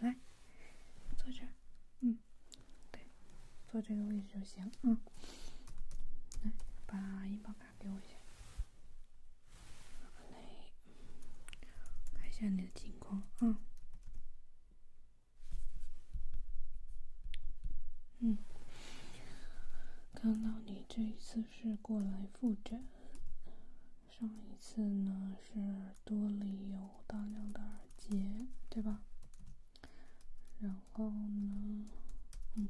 来，坐这儿。嗯，对，坐这个位置就行啊。来，把医保卡给我一下。来，看一下你的情况啊。嗯，看到你这一次是过来复诊。上一次呢是耳朵里有大量的耳结，对吧？然后呢，嗯，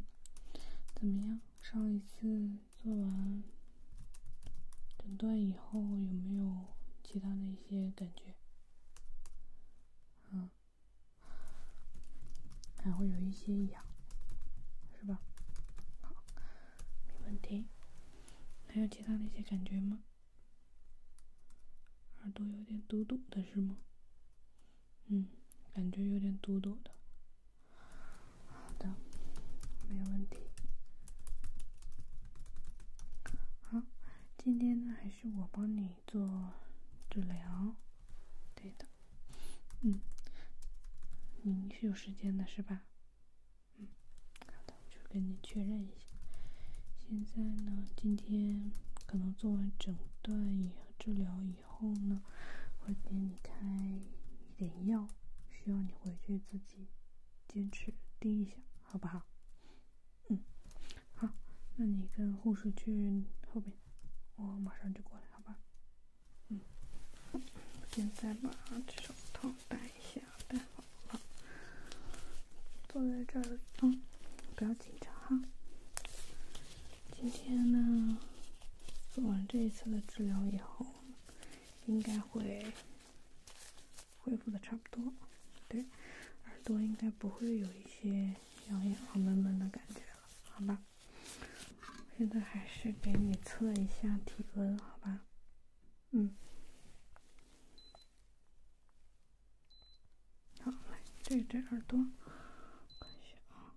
怎么样？上一次做完诊断以后有没有其他的一些感觉？嗯，还会有一些痒，是吧？好。没问题，还有其他的一些感觉吗？耳朵有点堵堵的，是吗？嗯，感觉有点堵堵的。好的，没问题。好，今天呢还是我帮你做治疗，对的。嗯，你是有时间的是吧？嗯，好的，我就跟你确认一下。现在呢，今天可能做完整段以治疗以后呢，会给你开一点药，需要你回去自己坚持滴一下，好不好？嗯，好，那你跟护士去后边，我马上就过来，好吧？嗯，现在把手套戴一下。戴好了，坐在这儿啊，不要紧张哈。今天呢，做完这一次的治疗以后，应该会恢复的差不多。对，耳朵应该不会有一些痒痒和闷闷的感觉了，好吧？现在还是给你测一下体温，好吧？嗯，好，来对对耳朵，看一下，啊，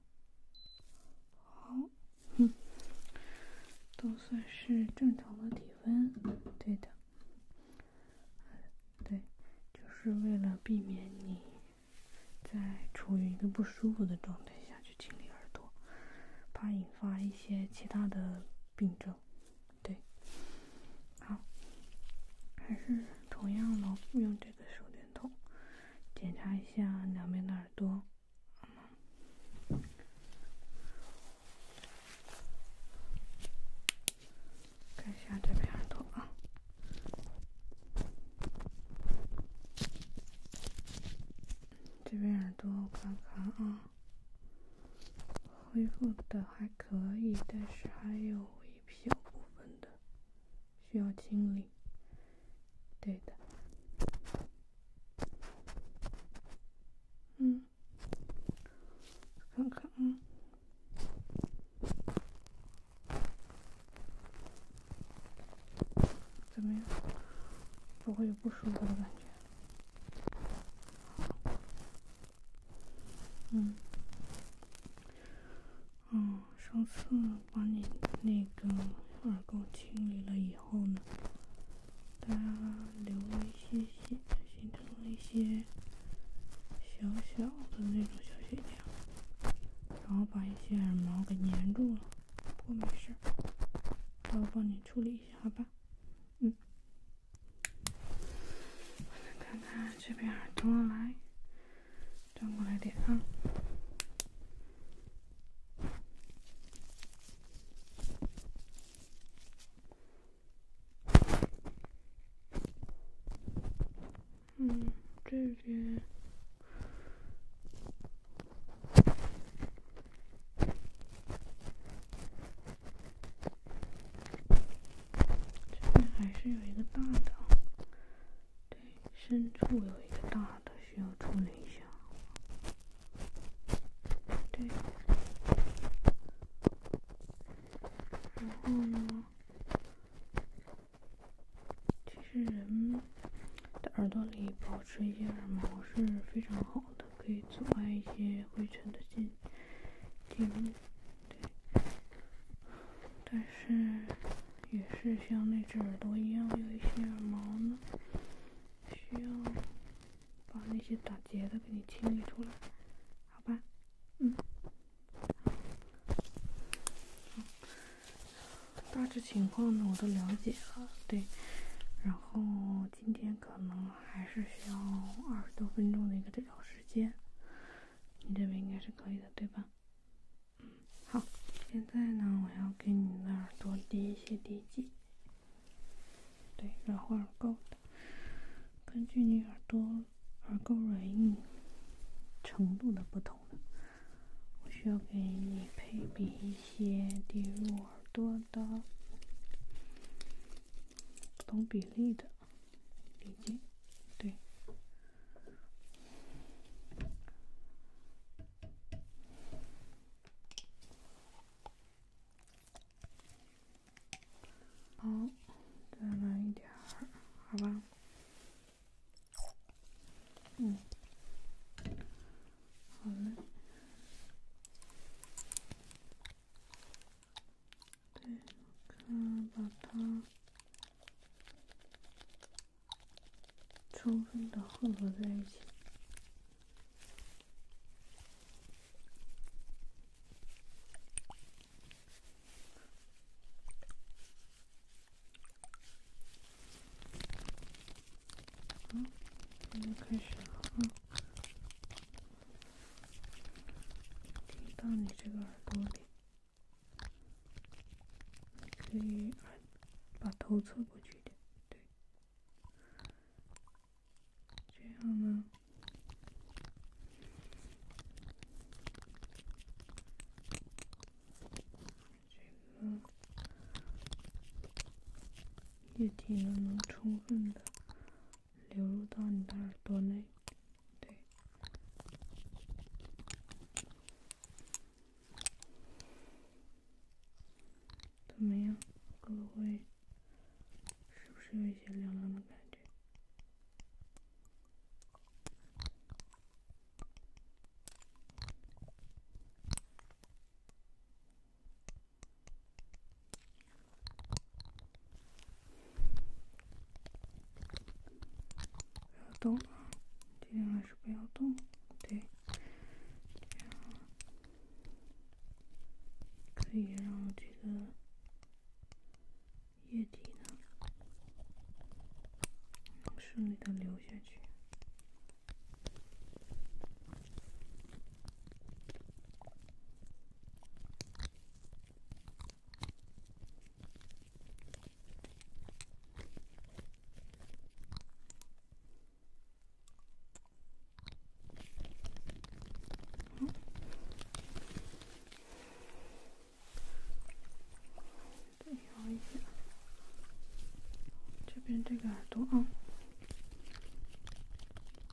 好，嗯，都算是正常的体温，对的，对，就是为了避免你在处于一个不舒服的状态下去。去清理耳朵，怕引发一些其他的病症，对。好，还是同样的，用这个手电筒检查一下两边的耳朵，看一下这边耳朵啊，这边耳朵，我看看啊。恢复的还可以，但是还有一小部分的需要清理。对的，嗯，看看，嗯，怎么样？不会有不舒服的感觉。嗯，嗯，上次把你那个耳垢清理了以后呢，它留了一些血，形成了一些小小的那种小血条，然后把一些耳毛给粘住了，不过没事，那我帮你处理一下，好吧？嗯，看看这边，转过来，转过来点啊。嗯，这边。这还是有一个大的，对，深处有一个大的需要处理一下。对，然后呢？其实人的耳朵里保持一些耳毛是非常好的。可以阻碍一些灰尘的进进入，对。但是也是像那只耳朵一样，有一些耳毛呢，需要把那些打结的给你清理出来，好吧？嗯。大致情况呢，我都了解了，对。然后。今天可能还是需要二十多分钟的一个治疗时间，你这边应该是可以的，对吧？嗯，好，现在呢，我要给你的耳朵滴一些滴剂。对，软化耳垢的，根据你耳朵耳垢软硬程度的不同，我需要给你配比。些跌入耳朵的不同比例的鼻镜，对。好，再来一点儿，好吧？嗯。好了。对，看，把它充分的混合在一起。啊，我们开始了啊。滴到你这个耳朵里，可以把头侧过去一点，对，这样呢，这个。液体呢，能充分的流入到你的耳朵内，对。怎么样？会不会？是不是有一些凉凉的感觉？不要动，尽量还是不要动。对，可以让这个液体呢，能顺利的流下去。这边这个耳朵啊。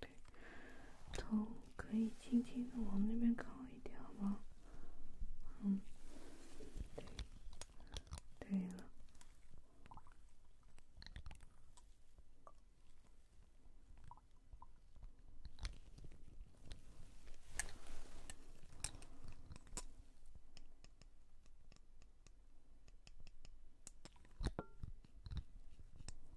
对，头可以轻轻的往那边靠一点好吗？嗯，对，对了。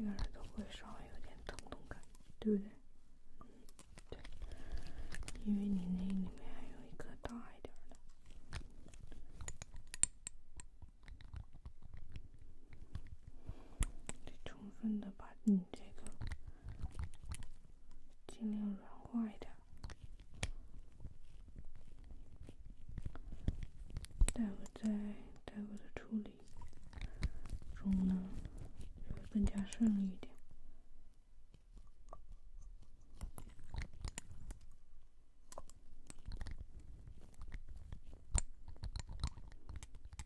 这个人都会稍微有点疼痛感，对不对？嗯，对，因为你那里面还有一颗大一点的。得充分的把你这个尽量软化一点，待会在待会的处理中呢，会更加顺利一点。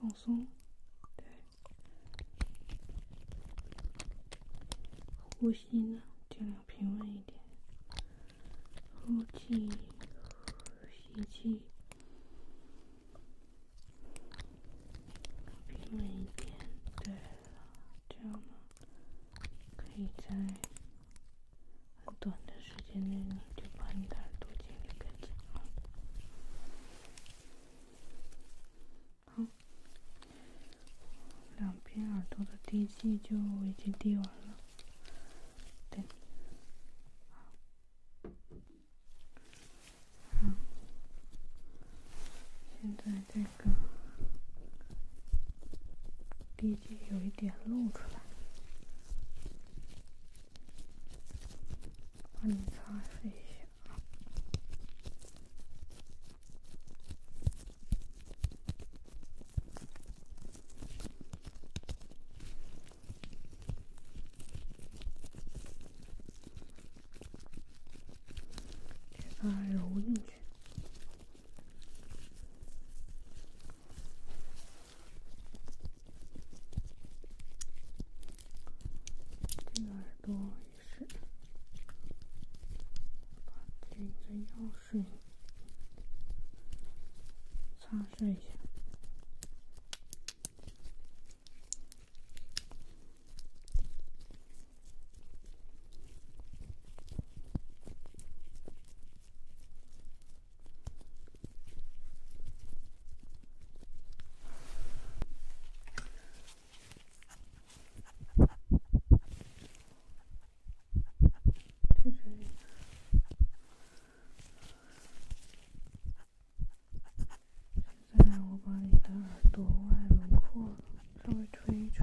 放松，对，呼吸呢，尽量平稳一点，呼气，吸气，平稳一点，对了，这样呢，可以在很短的时间内，呢，就把你的耳朵距离更近好，两边耳朵的滴剂就已经滴完了。对，好，现在这个滴剂有一点露出来，帮你擦拭一下。给它揉进去。这个耳朵也是，把这个药水擦拭一下。现在我把你的耳朵外轮廓稍微推一推。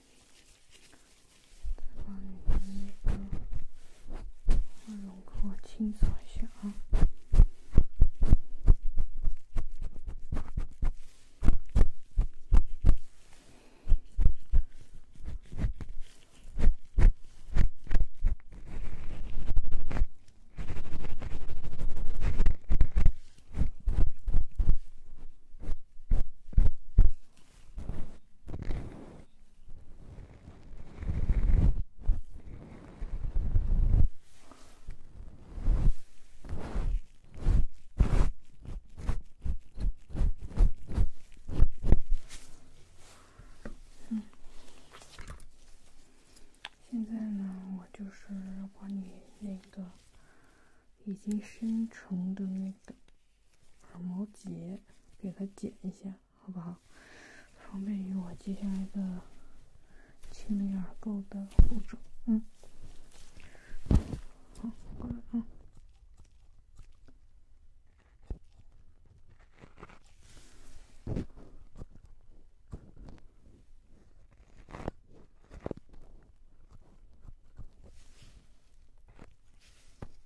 再把里面那个花绒给我清扫一下啊！嗯，现在呢，我就是把你那个已经生成的那个。毛结给它剪一下，好不好？方便于我接下来的清理耳垢的步骤。嗯，好，过来啊。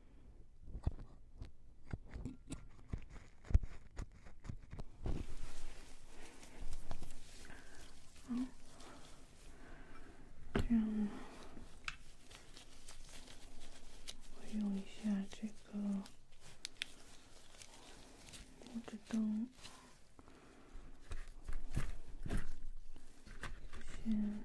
好，这样，我用一下这个护指灯，先。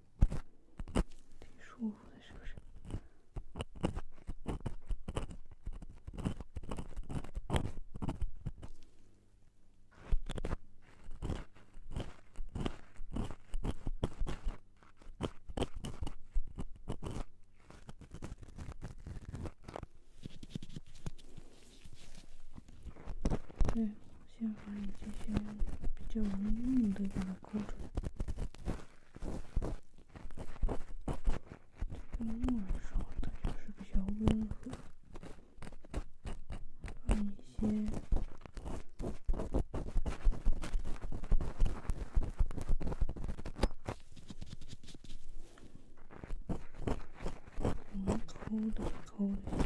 你说的是不是？先把你这些比较容易用的妆容，在晚上它就是比较温和，一些，嗯，高的高的。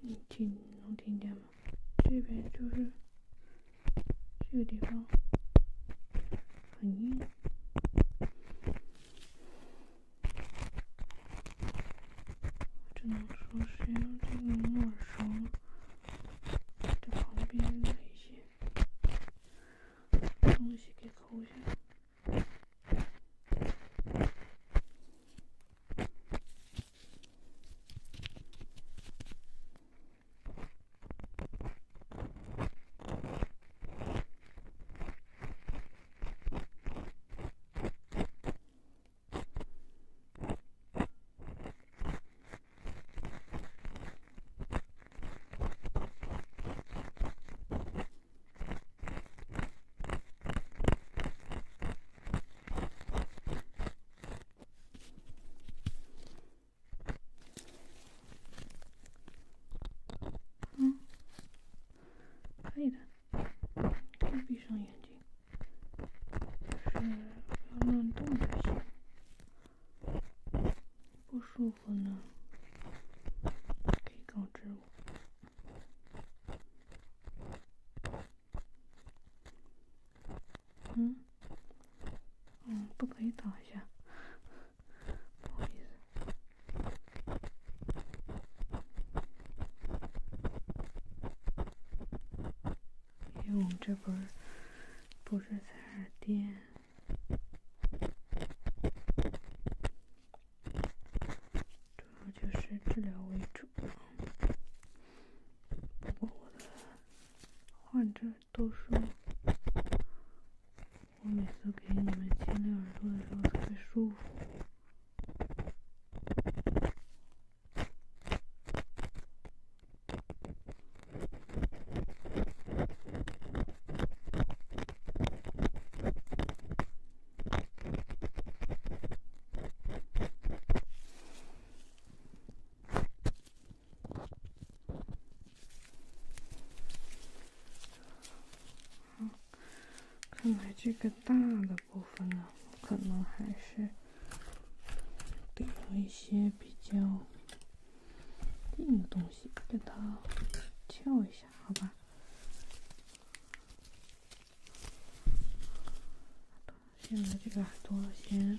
你听能听见吗？这边就是这个地方，很硬。我只能说，是用这个木耳边的东西给抠一下。嗯，可以的。可闭上眼睛，就是不要乱动就行。不舒服呢，可以告知我。嗯，嗯，不可以打一下，不好意思。因为我们这不是不是在店。主要就是治疗为主，不过我的患者都说，我每次给你们牵朵的时候特别舒服。好，看来这个大的部分呢，可能还是得了一些比较。另的个东西，给它翘一下，好吧？现在这个耳朵先。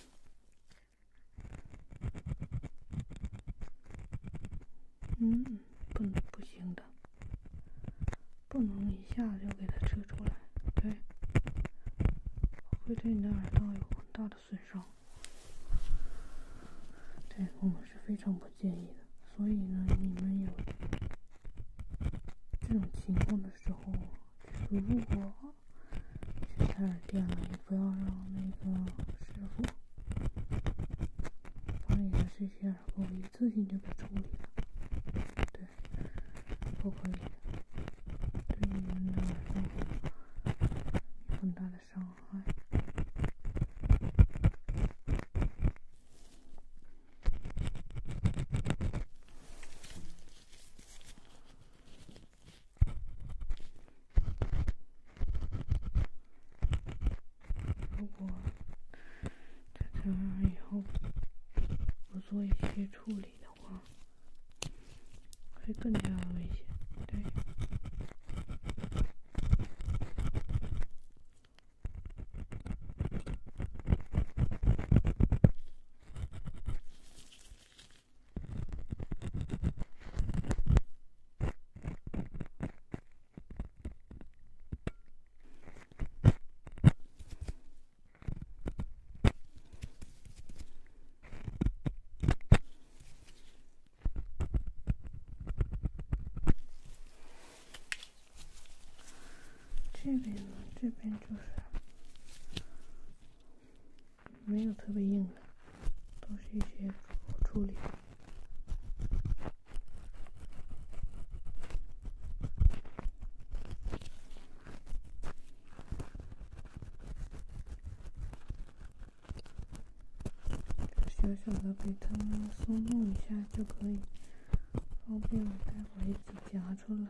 嗯，不，不行的，不能一下子就给它撤出来，对，会对你的耳道有很大的损伤，对我们是非常不建议的。所以呢，你们有这种情况的时候，如果去海尔店了，你不要让那个师傅把你的这些耳垢，一次性就给处理了，对，不可以的，对你的耳造有很大的伤害。如果在这样以后不做一些处理的话，会更加危险。对。这边呢，这边就是。没有特别硬的，都是一些处理。小小的，给它松动一下就可以，方便我待会一齿夹出来。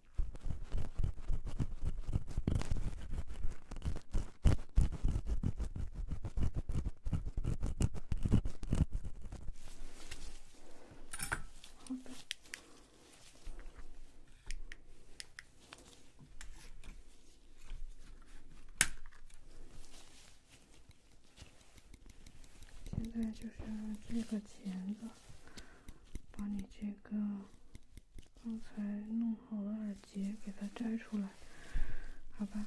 好的，现在就是这个钳子，把你这个。刚才弄好了耳结给它摘出来，好吧？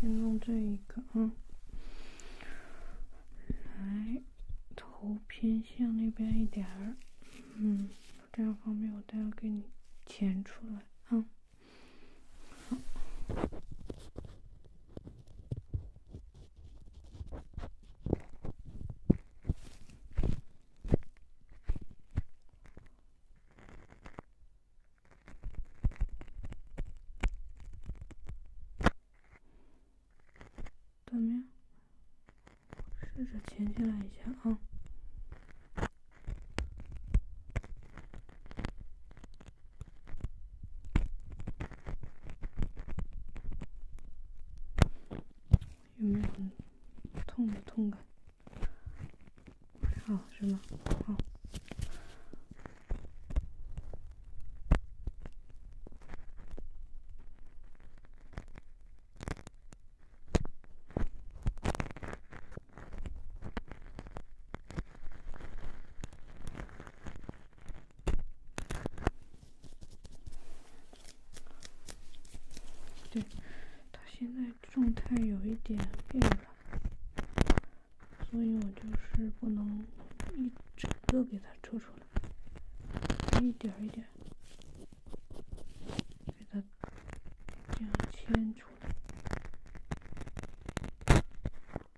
先弄这一个啊，来，头偏向那边一点儿，嗯，这样方便我待会给你剪出来啊。好。怎么样？试着前进来一下啊。有没有很痛痛感？好，是吗？好。对，他现在状态有一点变了，所以我就是不能一整个给他抽出来，一点一点给他这样牵出来。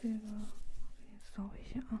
这个，我给你扫一下啊。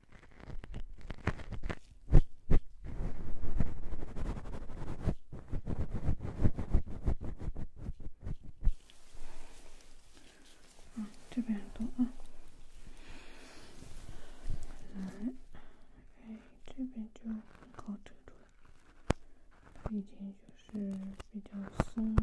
嗯，这边多啊，来，哎，这边就好扯出来，它已经就是比较松了。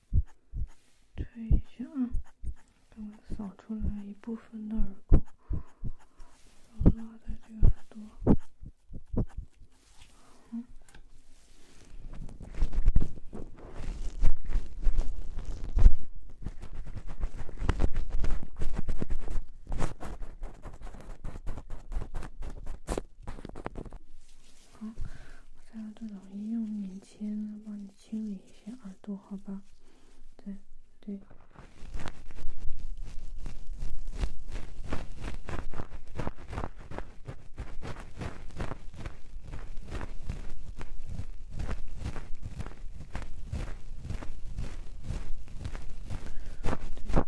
推一下，等我扫出来一部分的耳垢，然拉在这个耳朵。再用棉签帮你。清理一下耳朵，好吧？对，对，对，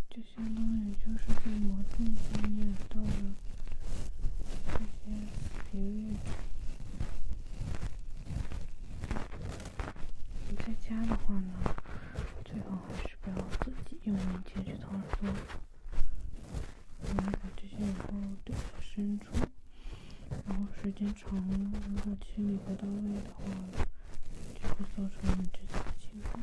就相当于就是磨蹭一下你念到了。这些比如，你在家的话呢，最好还是不要自己用棉签去掏耳朵，然后把这些耳朵耳朵深处，然后时间长了，如果清理不到位的话，就会造成你们这的情况。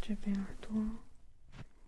这边耳朵，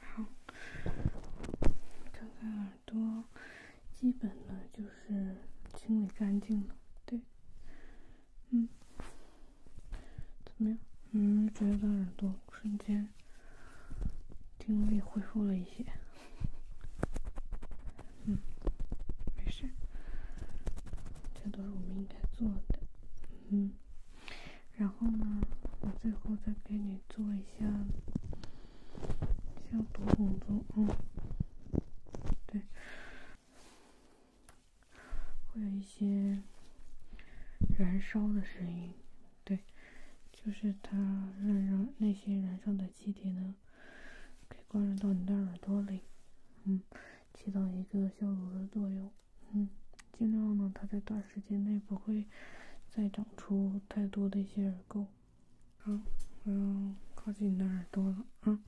好，这个耳朵基本呢就是清理干净了，对，嗯，怎么样？嗯，觉得耳朵瞬间听力恢复了一些，嗯，没事，这都是我们应该做的，嗯。然后呢，我最后再给你做一下消毒工作。嗯，对，会有一些燃烧的声音，对，就是它让让那些燃烧的气体呢，可以灌入到你的耳朵里，嗯，起到一个消毒的作用。嗯，尽量呢，它在短时间内不会再长出太多的一些耳垢。啊，我要靠近你的耳朵了啊，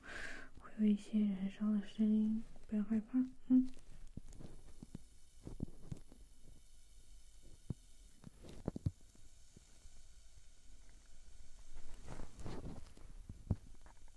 会有一些燃烧的声音，不要害怕。嗯。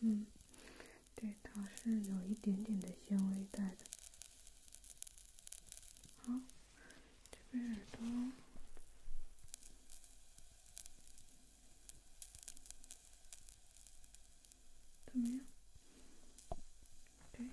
嗯，对，它是有一点点的纤维带的。好，这边耳朵怎么样？对。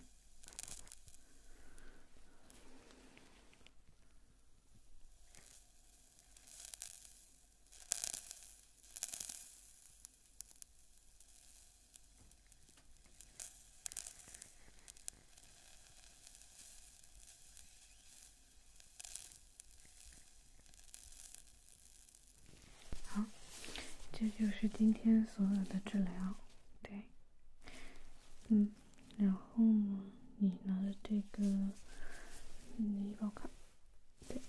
好，这就是今天所有的治疗。对，嗯，然后。呢？你拿着这个，医保卡，对，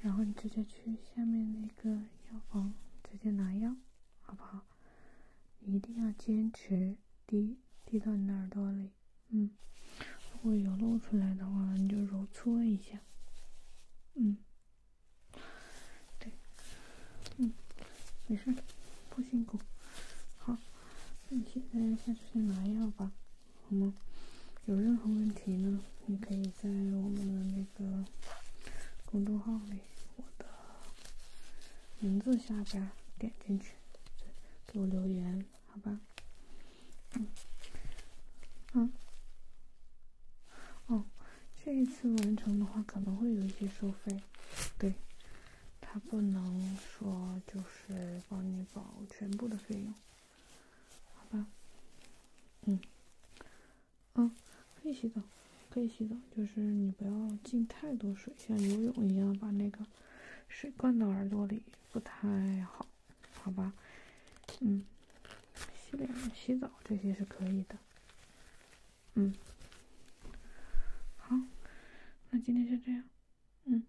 然后你直接去下面那个药房，直接拿药，好不好？你一定要坚持滴，滴到你的耳朵里，嗯。如果有漏出来的话，你就揉搓一下，嗯，对，嗯，没事，不辛苦。好，那你现在先去拿药吧。好吗？有任何问题呢，你可以在我们的那个公众号里，我的名字下边点进去，给我留言，好吧？嗯，嗯，哦，这一次完成的话，可能会有一些收费，对，他不能说就是帮你保全部的费用。好吧，嗯，啊，可以洗澡，可以洗澡，就是你不要进太多水，像游泳一样把那个水灌到耳朵里不太好，好吧，嗯，洗脸、洗澡这些是可以的，嗯，好，那今天就这样，嗯。